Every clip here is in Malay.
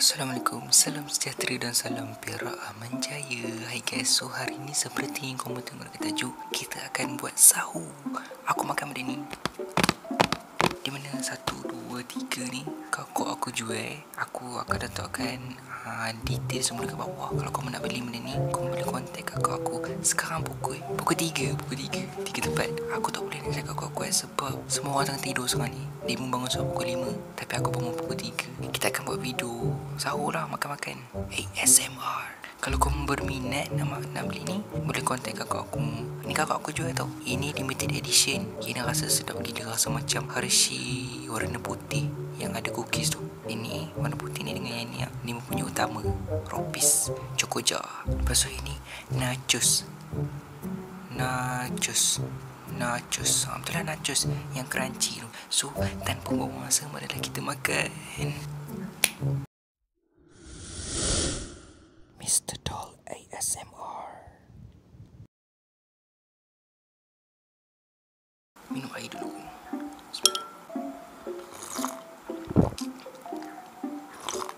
Assalamualaikum, salam sejahtera dan salam perak aman jaya Hai guys, so hari ni seperti yang kamu tengok kita tajuk Kita akan buat sahur Aku makan benda ni Di mana satu, dua, tiga ni Kau aku jual Aku akan datangkan uh, ah, detail semua dekat bawah Kalau kamu nak beli benda ni Kau boleh kontak kakak aku Sekarang pukul Pukul tiga, pukul tiga Tiga tepat Aku tak boleh nak cakap kau kuat eh sebab semua orang tidur sekarang ni Dia pun bangun sebab pukul 5 Tapi aku bangun pukul 3 Kita akan buat video Sahur lah makan-makan ASMR Kalau kau berminat nama nak beli ni Boleh contact kakak aku Ni kakak aku jual tau Ini limited edition Kena rasa sedap gila Rasa macam Hershey warna putih Yang ada cookies tu ini warna putih ni dengan yang ni Ni mempunyai utama Ropis Cokoja Lepas tu ini Nachos Nachos nachos ha, betul lah nachos yang crunchy tu so tanpa buang masa marilah kita makan Mr. Doll ASMR minum air dulu Thank you.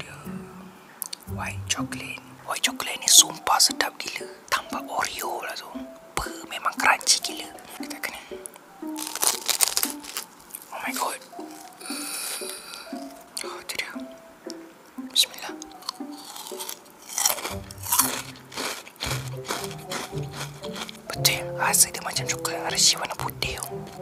Dia White chocolate White chocolate ni sumpah sedap gila Tambah Oreo lah tu Apa memang crunchy gila Kita kena Oh my god Oh tu dia Bismillah Betul Rasa dia macam coklat Rasa warna putih tu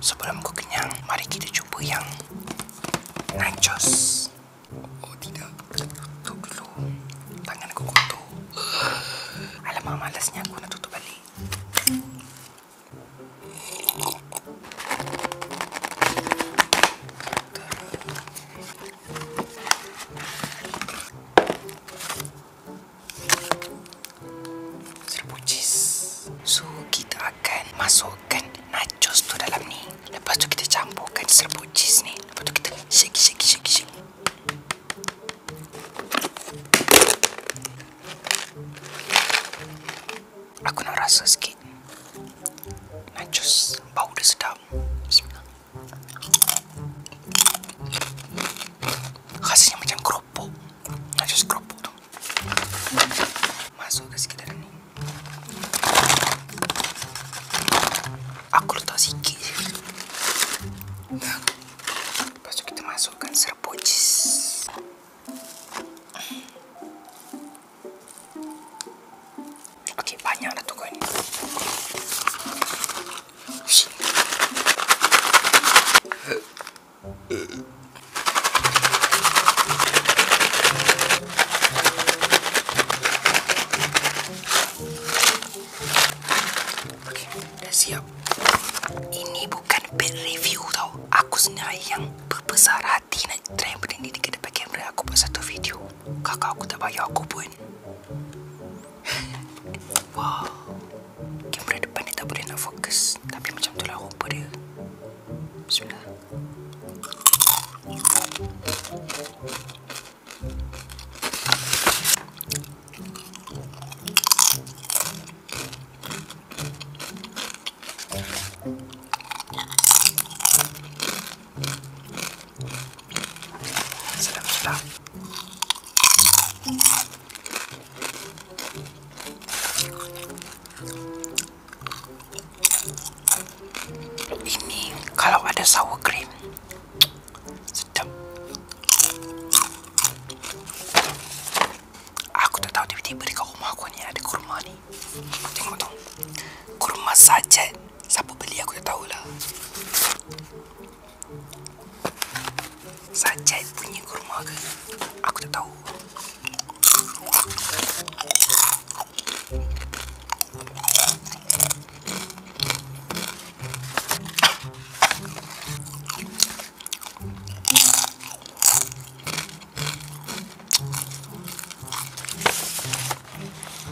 Sebelum ku kenyang, mari kita cuba yang nachos. Oh tidak, kena tutup dulu. Tangan aku kotor. Alamak, malasnya aku nak tutup balik. Serbu cheese. kita akan masukkan nachos tu dalam ni. Lepas tu kita campurkan serbu ni. Lepas tu kita shake shake shake shake. Aku nak rasa sikit. Nachos bau dia sedap. Bismillah. Rasanya macam keropok Macam keropok tu Masuk ke sikit dalam ni Aku letak sikit je Lepas tu kita masukkan serbuk cheese Okey, banyak lah dah tu coin. Aku sendiri yang berbesar hati nak try benda ni dekat depan kamera aku buat satu video kakak aku tak bayar aku pun. Wah. Kamera depan ni tak boleh nak fokus. Tapi macam tu lah rupa dia. Bismillah. Ini kalau ada sour cream. Tiba-tiba di rumah aku ni ada kurma ni. Tengok tu. Kurma sajet. Siapa beli aku tak lah. Saja punya kurma ke Aku tak tahu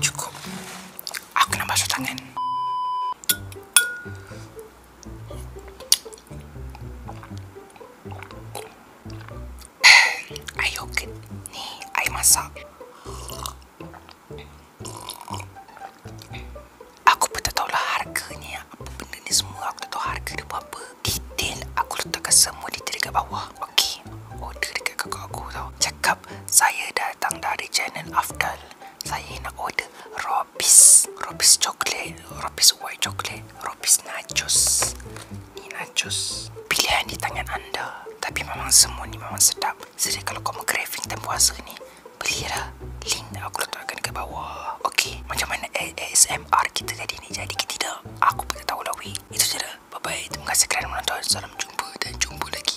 Cukup. Aku nak basuh tangan. Eh, semua aku tak tahu harga dia berapa detail aku letakkan semua detail dekat bawah okey order oh, dekat kakak aku tau cakap saya datang dari channel Afdal saya nak order Robis Robis coklat Robis white coklat Robis nachos ni nachos pilihan di tangan anda tapi memang semua ni memang sedap jadi kalau kau craving time puasa ni belilah link aku letakkan ke bawah okey macam mana ASMR kita jadi ni jadi ke tidak aku pun tahu lah weh itu je lah Bye-bye. Terima kasih kerana menonton. Salam jumpa dan jumpa lagi.